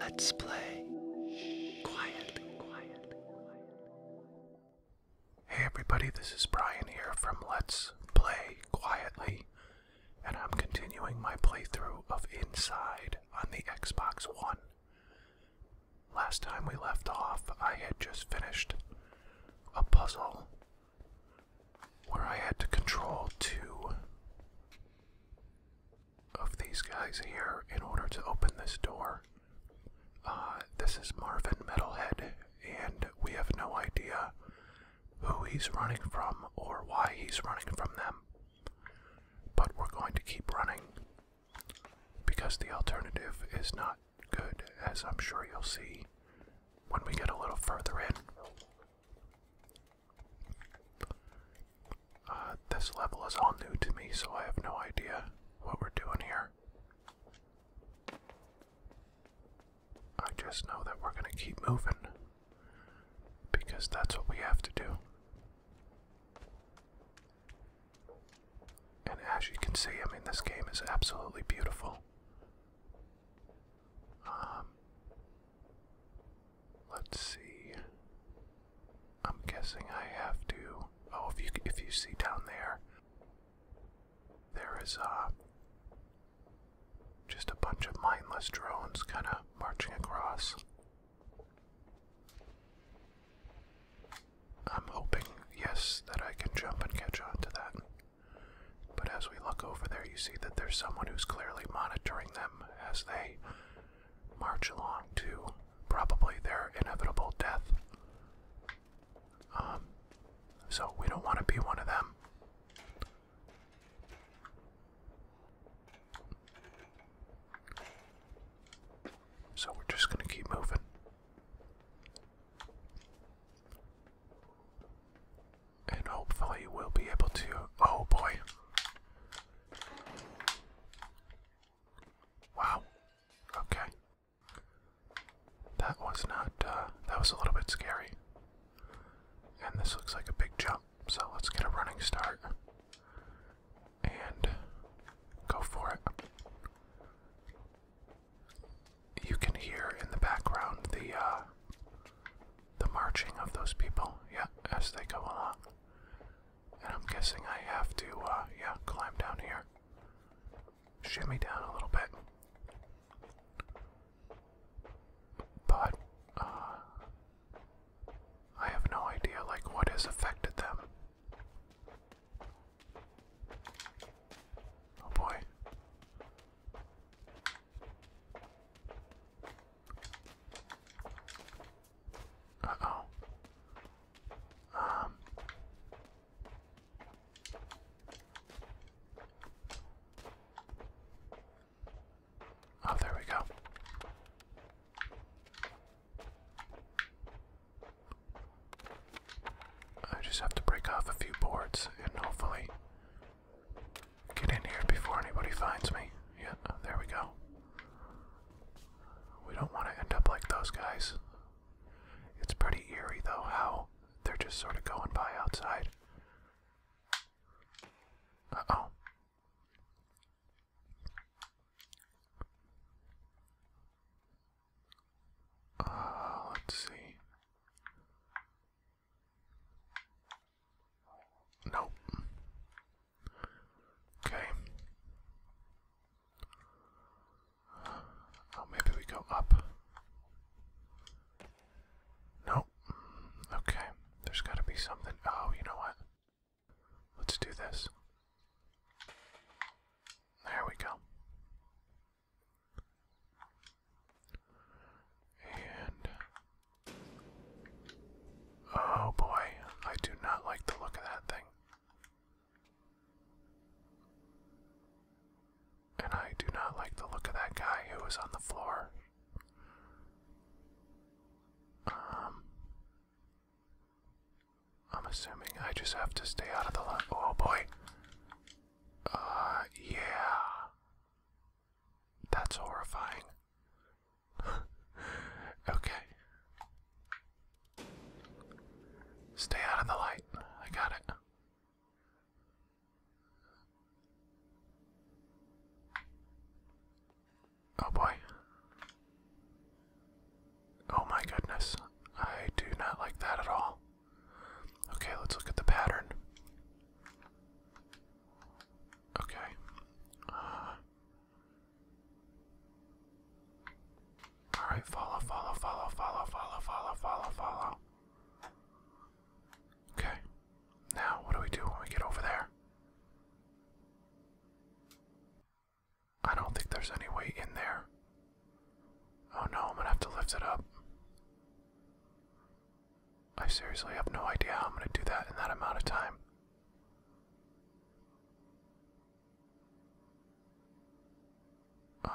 Let's play quietly, Hey everybody, this is Brian here from Let's Play Quietly, and I'm continuing my playthrough of Inside on the Xbox One. Last time we left off, I had just finished a puzzle where I had to control two of these guys here in order to open this door. Uh, this is Marvin Metalhead, and we have no idea who he's running from or why he's running from them. But we're going to keep running because the alternative is not good, as I'm sure you'll see when we get a little further in. Uh, this level is all new to me, so I have no idea what we're doing here. I just know that we're gonna keep moving. Because that's what we have to do. And as you can see, I mean, this game is absolutely beautiful. Um, Let's see. I'm guessing I have to. Oh, if you if you see down there, there is uh just a bunch of mindless drones kind of marching across. I'm hoping, yes, that I can jump and catch on to that. But as we look over there, you see that there's someone who's clearly monitoring them as they march along to probably their inevitable death. Um, so we don't want to be one of them. So we're just going to keep moving. And hopefully we'll be able to. Oh boy. Wow. Okay. That was not, uh, that was a little bit scary. And this looks like a big jump, so let's get a running start. And go for it. You can hear in the background the, uh, the marching of those people, yeah, as they go along. And I'm guessing I have to, uh, yeah, climb down here. Shimmy down a little bit. But, uh, I have no idea, like, what has affected them. Oh boy oh. Um. Oh, there we go. I just have to break off a few boards and hopefully get in here before anybody finds me. Yeah, there we go. We don't want to end up like those guys. It's pretty eerie, though, how they're just sort of going by outside. Uh oh. let's see. Nope. Okay. Oh, maybe we go up. Nope. Okay. There's got to be something. Oh, you know what? Let's do this. There we go. And Oh boy, I do not like the look of that thing. And I do not like the look of that guy who was on the floor. Um, I'm assuming I just have to stay out of the line. Oh boy. Uh, yeah. That's horrifying. okay. Stay out of the light. I got it. Oh boy. Oh my goodness. I do not like that at all. Okay, let's look at the pattern. Okay. Uh, Alright, follow, follow, follow, follow, follow, follow, follow, follow. Okay. Now, what do we do when we get over there? I don't think there's any way in there. Oh no, I'm gonna have to lift it up. I seriously have no idea how I'm gonna do that in that amount of time. Uh,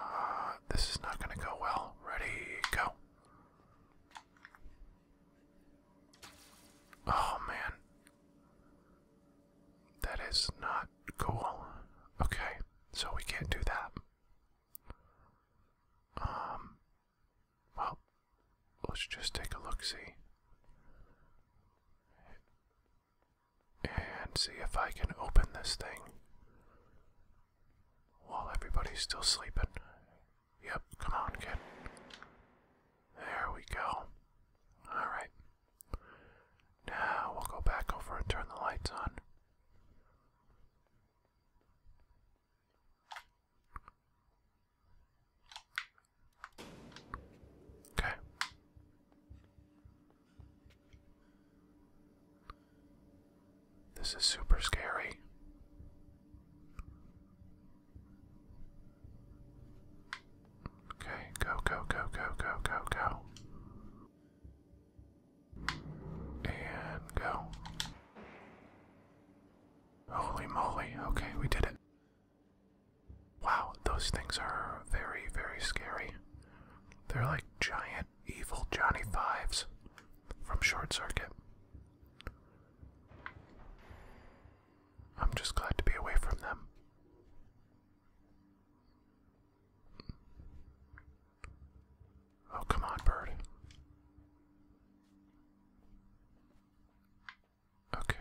this is not going to go well. Ready, go. Oh man. That is not cool. Okay, so we can't do that. Um, well, Let's just take a look see. And see if I can open this thing while everybody's still sleeping. Yep, come on, kid. There we go. Alright. Now we'll go back over and turn the lights on. Okay. This is super scary. Okay, go, go, go, go, go, go, go. And go. Holy moly, okay, we did it. Wow, those things are very, very scary. They're like giant evil Johnny Fives from Short Circuit. I'm just glad to be away from them. Oh, come on, bird. Okay.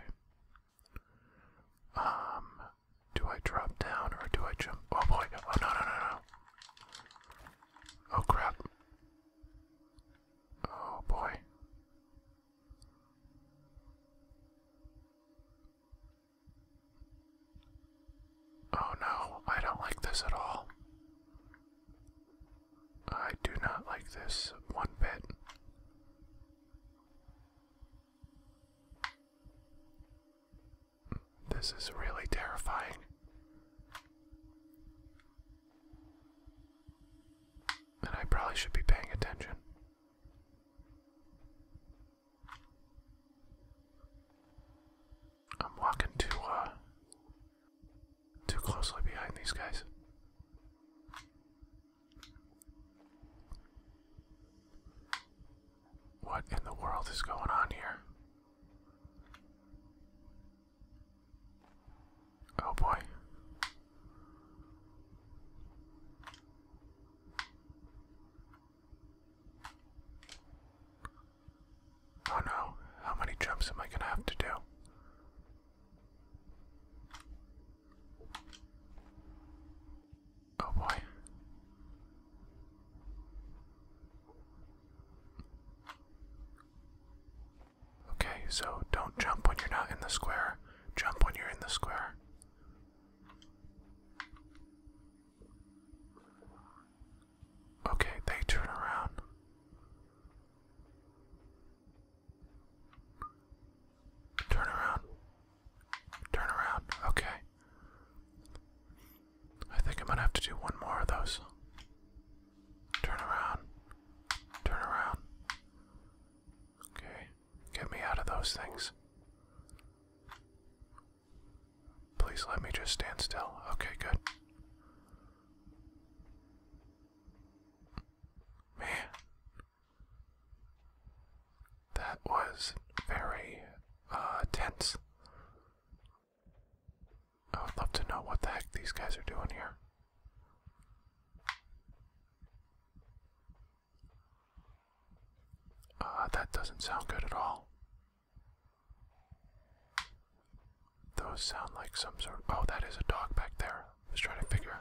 Um, do I drop down or do I jump? Oh boy, oh no, no, no, no. Oh crap. Oh boy. Oh no, I don't like this at all. I do not like this one bit. This is really terrifying. And I probably should be paying attention. I'm walking too uh, too closely behind these guys. What in the world is going on here? Oh boy. Oh no, how many jumps am I going to have to do? Oh boy. Okay, so don't jump when you're not in the square. Jump when you're in the square. Okay, they turn around. Turn around. Turn around. Okay. I think I'm going to have to do one more of those. Turn around. Turn around. Okay. Get me out of those things. Please let me just stand still. Okay, good. Man, that was very uh, tense. I would love to know what the heck these guys are doing here. Uh, that doesn't sound good at all. Those sound like some sort Oh, that is a dog back there. Let's try to figure.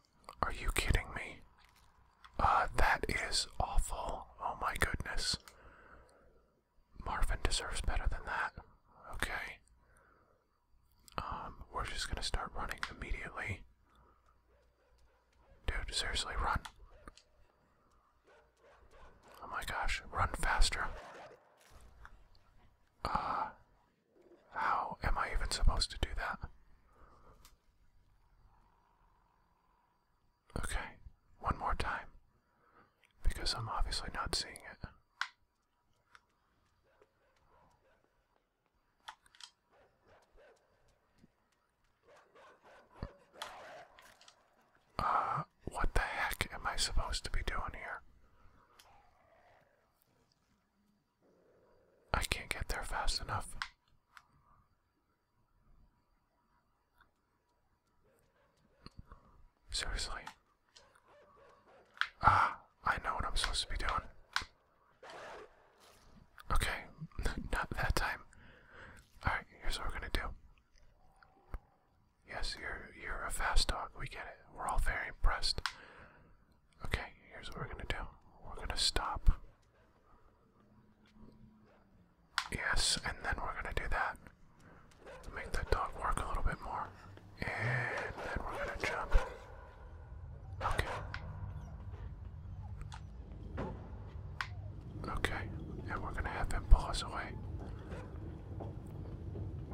Are you kidding me? Uh, that is awful. Oh my goodness. Marvin deserves better than that. Okay. Um, we're just gonna start running immediately. Dude, seriously, run. Oh my gosh, run faster. Uh, how am I even supposed to do that? Okay, one more time. Because I'm obviously not seeing it. Uh, what the heck am I supposed to be doing here? I can't get there fast enough. Seriously. Ah, I know what I'm supposed to be doing. Okay, not that time. Alright, here's what we're gonna do. Yes, you're you're a fast dog, we get it. We're all very impressed. Okay, here's what we're gonna do. We're gonna stop. Yes, and then we're gonna do that. Make the dog work a little bit more. And then we're gonna jump. Okay. Okay, and we're gonna have him pull us away.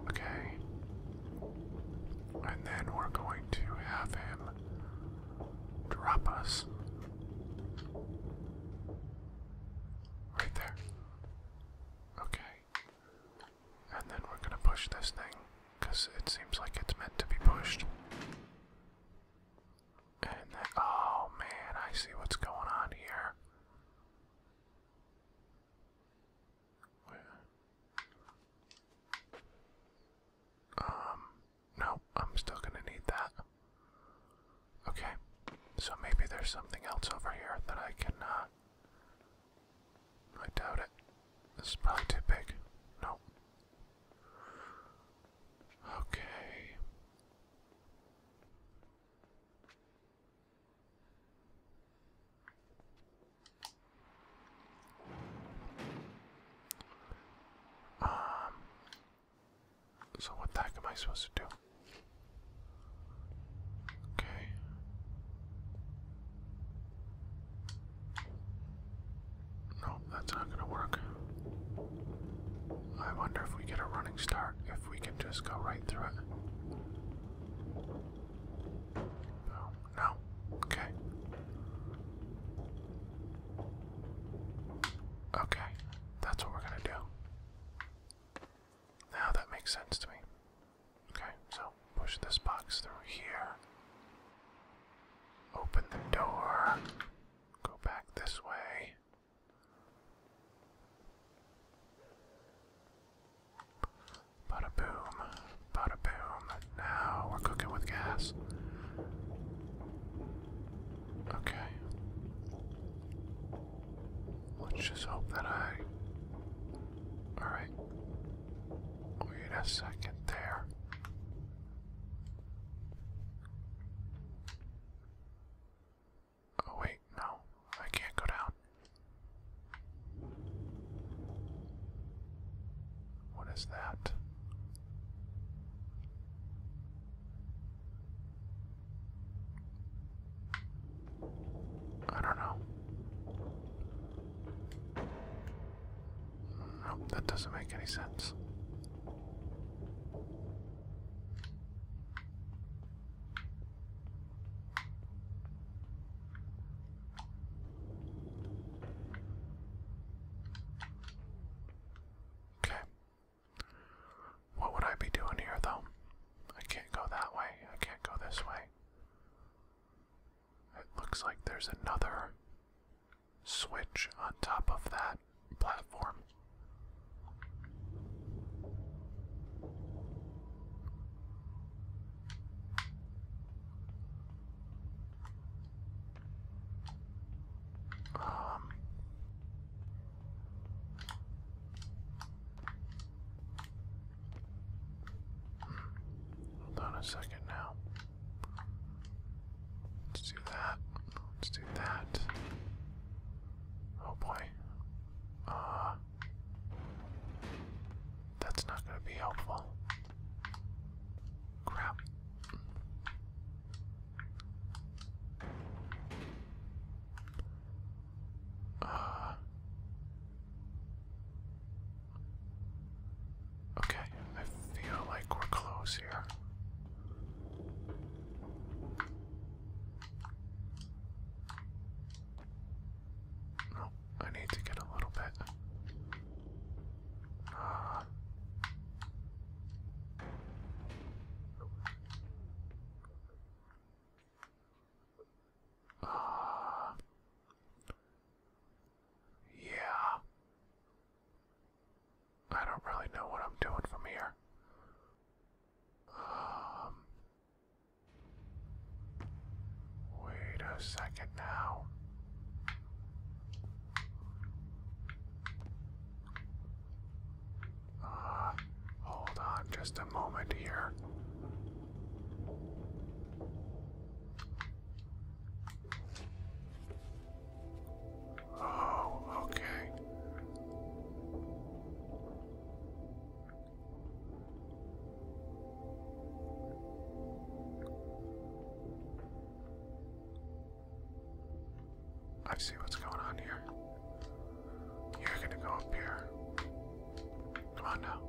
Okay. And then we're going to have him drop us. Right there. Okay. And then we're gonna push this thing, because it seems like it's meant to be pushed. And oh man, I see what's going on here. Um, no, I'm still gonna need that. Okay, so maybe there's something else over here that I can, uh. I doubt it. This is probably too big. No. Okay. Um, so what the heck am I supposed to do? Okay. No, that's not gonna work. I wonder if we get a running start, if we can just go right through it. Oh, no. Okay. Okay, that's what we're gonna do. Now that makes sense to me. Okay, so push this box through here. Open the door. Go back this way. Bada boom, bada boom. Now we're cooking with gas. Okay. Let's just hope that I. Alright. Wait a second there. Oh, wait, no. I can't go down. What is that? I don't know. Nope, that doesn't make any sense. Okay. What would I be doing here, though? I can't go that way. I can't go this way. It looks like there's another switch on top of that platform. Um, hold on a second now. Let's do that. Let's do that. Oh boy. Uh, that's not going to be helpful. Crap. Uh, okay, I feel like we're close here. No, I need to get a little bit. Uh, uh, yeah. I don't really know what I'm doing from here. Um, wait a second now. Uh, hold on just a moment here. Oh, okay. I see what's going on here. You're gonna go up here. Come on now.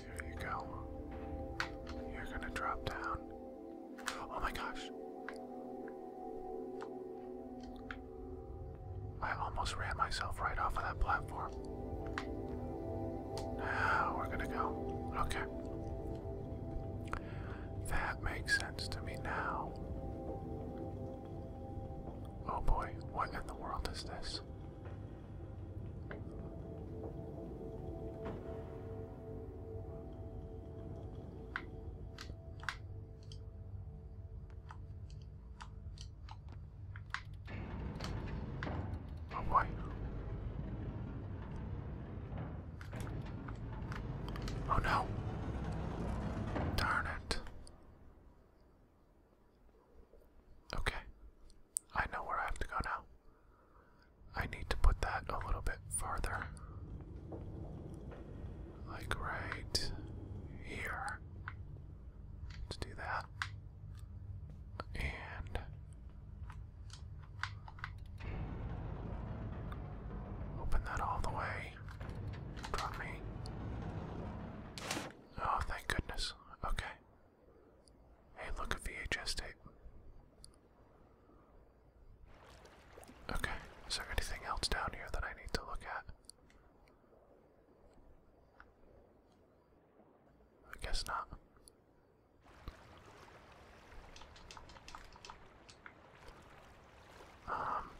Here you go. You're gonna drop down. Oh my gosh. I almost ran myself right off of that platform. Now we're gonna go. Okay. That makes sense to me now. Oh boy, what in the world is this? Oh boy. Oh no. Darn it. Okay. I know where I have to go now. I need to put that a little bit farther. Like right here. Let's do that. And Open that all the way. Drop me. Oh, thank goodness. Okay. Hey, look at VHS tape. Okay, is there anything else down here that I need to look at? I guess not. Um,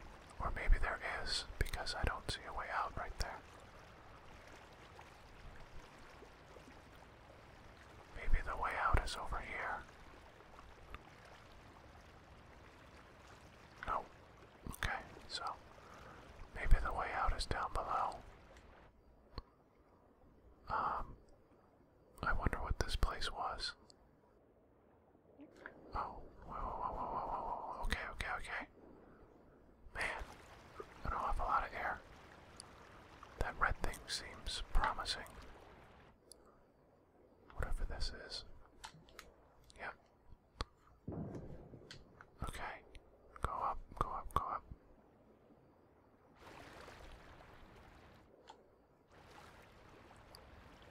or maybe there is, because I don't see a way out right there. Maybe the way out is over here. No. Okay, so maybe the way out is down below. Um, I wonder what this place was. Oh, okay, okay, okay. Man, an awful lot of air. That red thing seems promising. Whatever this is. Yep. Okay, go up, go up, go up.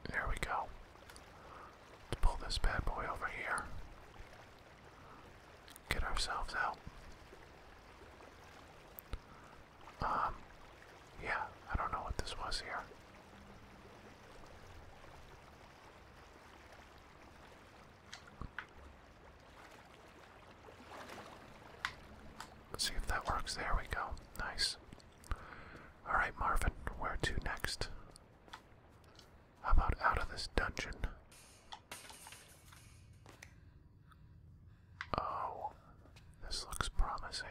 There we go. Let's pull this bad boy over here. Get ourselves out. Um, yeah, I don't know what this was here. see if that works. There we go. Nice. Alright, Marvin, where to next? How about out of this dungeon? Oh, this looks promising.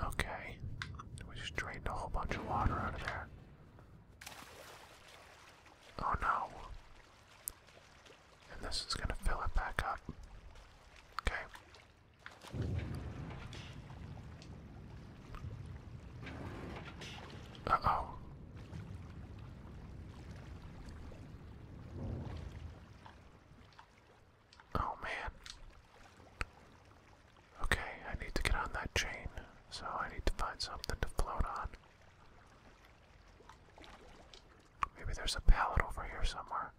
Okay, we just drained a whole bunch of water out of there. Oh no. And this is going to fill it back up. Okay. Uh oh. Oh man. Okay, I need to get on that chain, so I need to find something to float on. Maybe there's a pallet over here somewhere.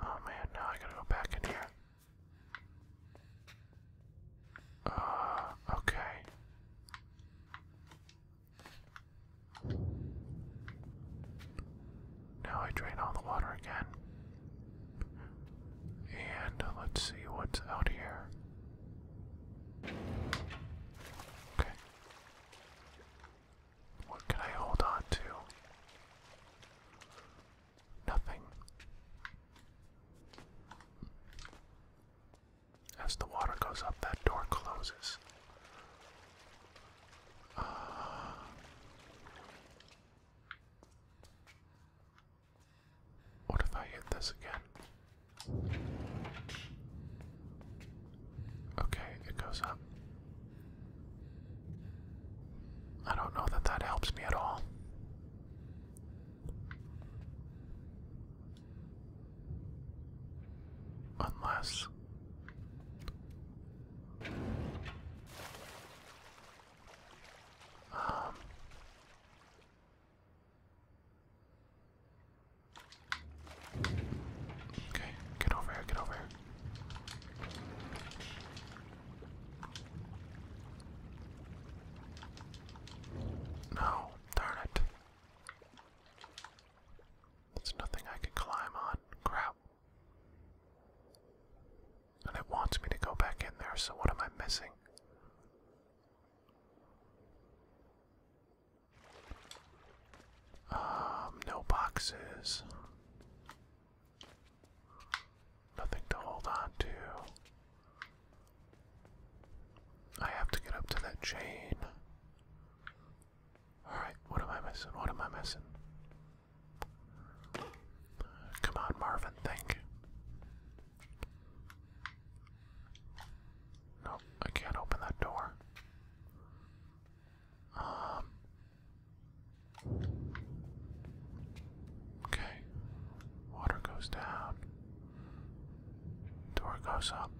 Oh man, now I gotta go back in here. Uh, okay. Now I drain all the water again. And let's see what's out here. Okay. What can I hold on to? Nothing. As the water goes up, that door closes. Uh, what if I hit this again? Okay, it goes up. I don't know that that helps me at all. Unless. Um, Okay, get over here, get over here. No, darn it. There's nothing I can climb on. Crap. And it wants me to go back in there, so what am I missing? Um, no boxes. Nothing to hold on to. I have to get up to that chain. Alright, what am I missing? What am I missing? Come on, Marvin, think. Nope, I can't open that door. Um. Okay. Water goes down. Door goes up.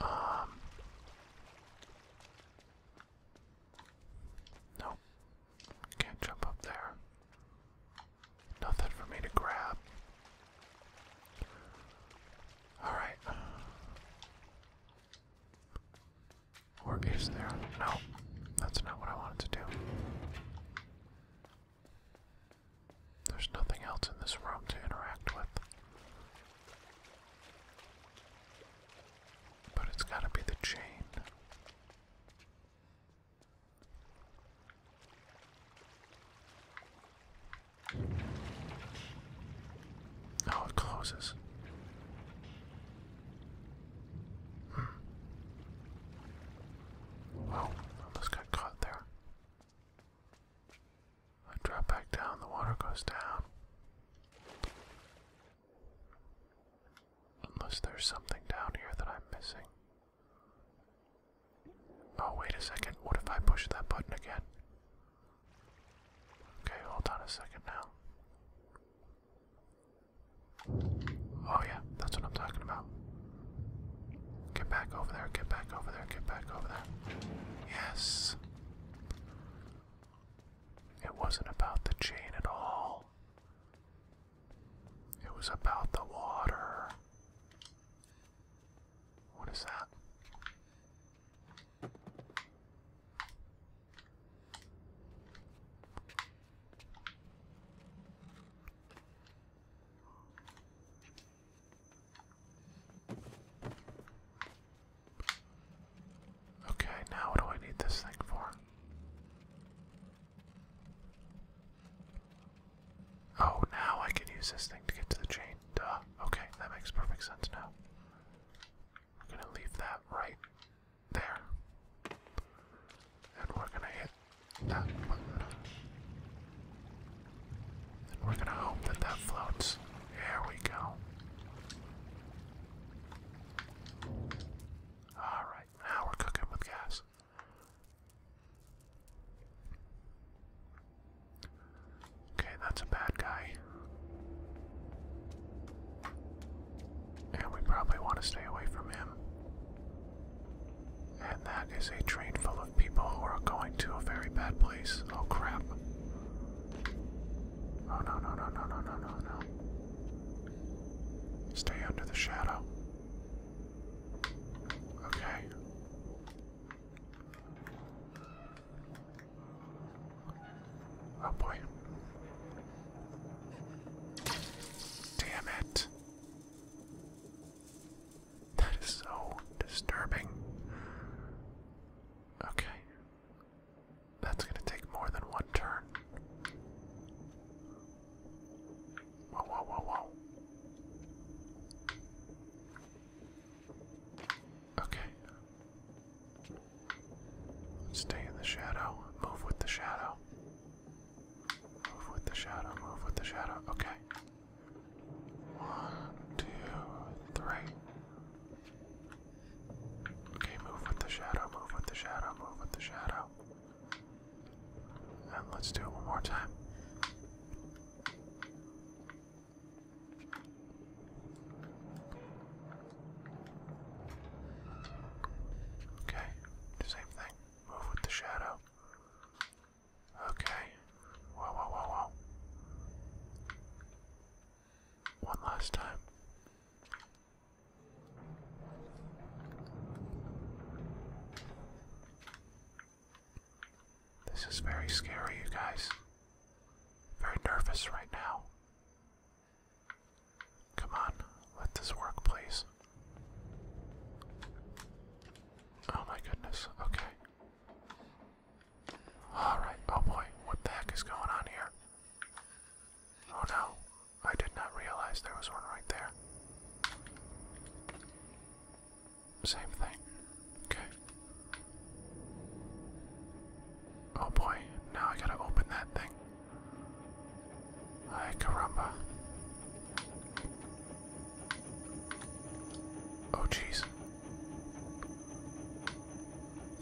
Um. Nope. Can't jump up there. Nothing for me to grab. Alright. Or there? No, that's not what I wanted to do. There's nothing else in this room to interact with. But it's gotta be the chain. Oh, it closes. Hmm. almost got caught there. I drop back down, the water goes down. Unless there's something down here that I'm missing. Oh, wait a second. What if I push that button again? Okay, hold on a second now. Oh, yeah, that's what I'm talking about. Get back over there, get back over there, get back over there. Yes! It wasn't about the chain at all. It was about the water. What is that? Okay, now what do I need this thing for? Oh, now I can use this thing to get to the chain. Duh. Okay, that makes perfect sense now. We're gonna leave that right there. And we're gonna hit that button. And we're gonna hope that that floats. Here we go. Alright, now we're cooking with gas. Okay, that's a bad guy. And we probably want to stay away from him. And that is a train full of people who are going to a very bad place. Oh crap. Oh no no no no no no no no. Stay under the shadow. Okay. Oh boy. Damn it. That is so disturbing. Okay. That's gonna take more than one turn. Whoa, whoa, whoa, whoa. Okay. Stay in the shadow. Move with the shadow. Move with the shadow. Move with the shadow. Okay. One, two, three. Okay, move with the shadow, move with the shadow, move with the shadow. And let's do it one more time. Okay, same thing. Move with the shadow. Okay. Whoa, whoa, whoa, whoa one last time. This is very scary, you guys. Very nervous right now. Come on, let this work, please. Oh my goodness, okay. Alright, oh boy, what the heck is going on here? Oh no, I did not realize there was one right there. Same thing. Okay. Oh boy, now I gotta open that thing. Ay, caramba. Oh jeez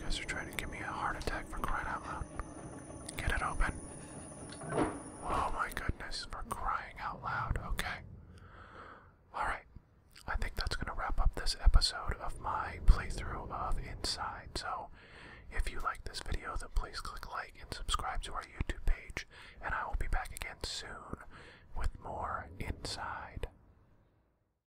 guys are trying to give me a heart attack for crying out loud. Get it open. Oh my goodness, for crying out loud, okay. Alright, I think that's going to wrap up this episode of my playthrough of Inside. So, if you like this video, then please click like and subscribe to our YouTube page, and I will be back again soon with more Inside.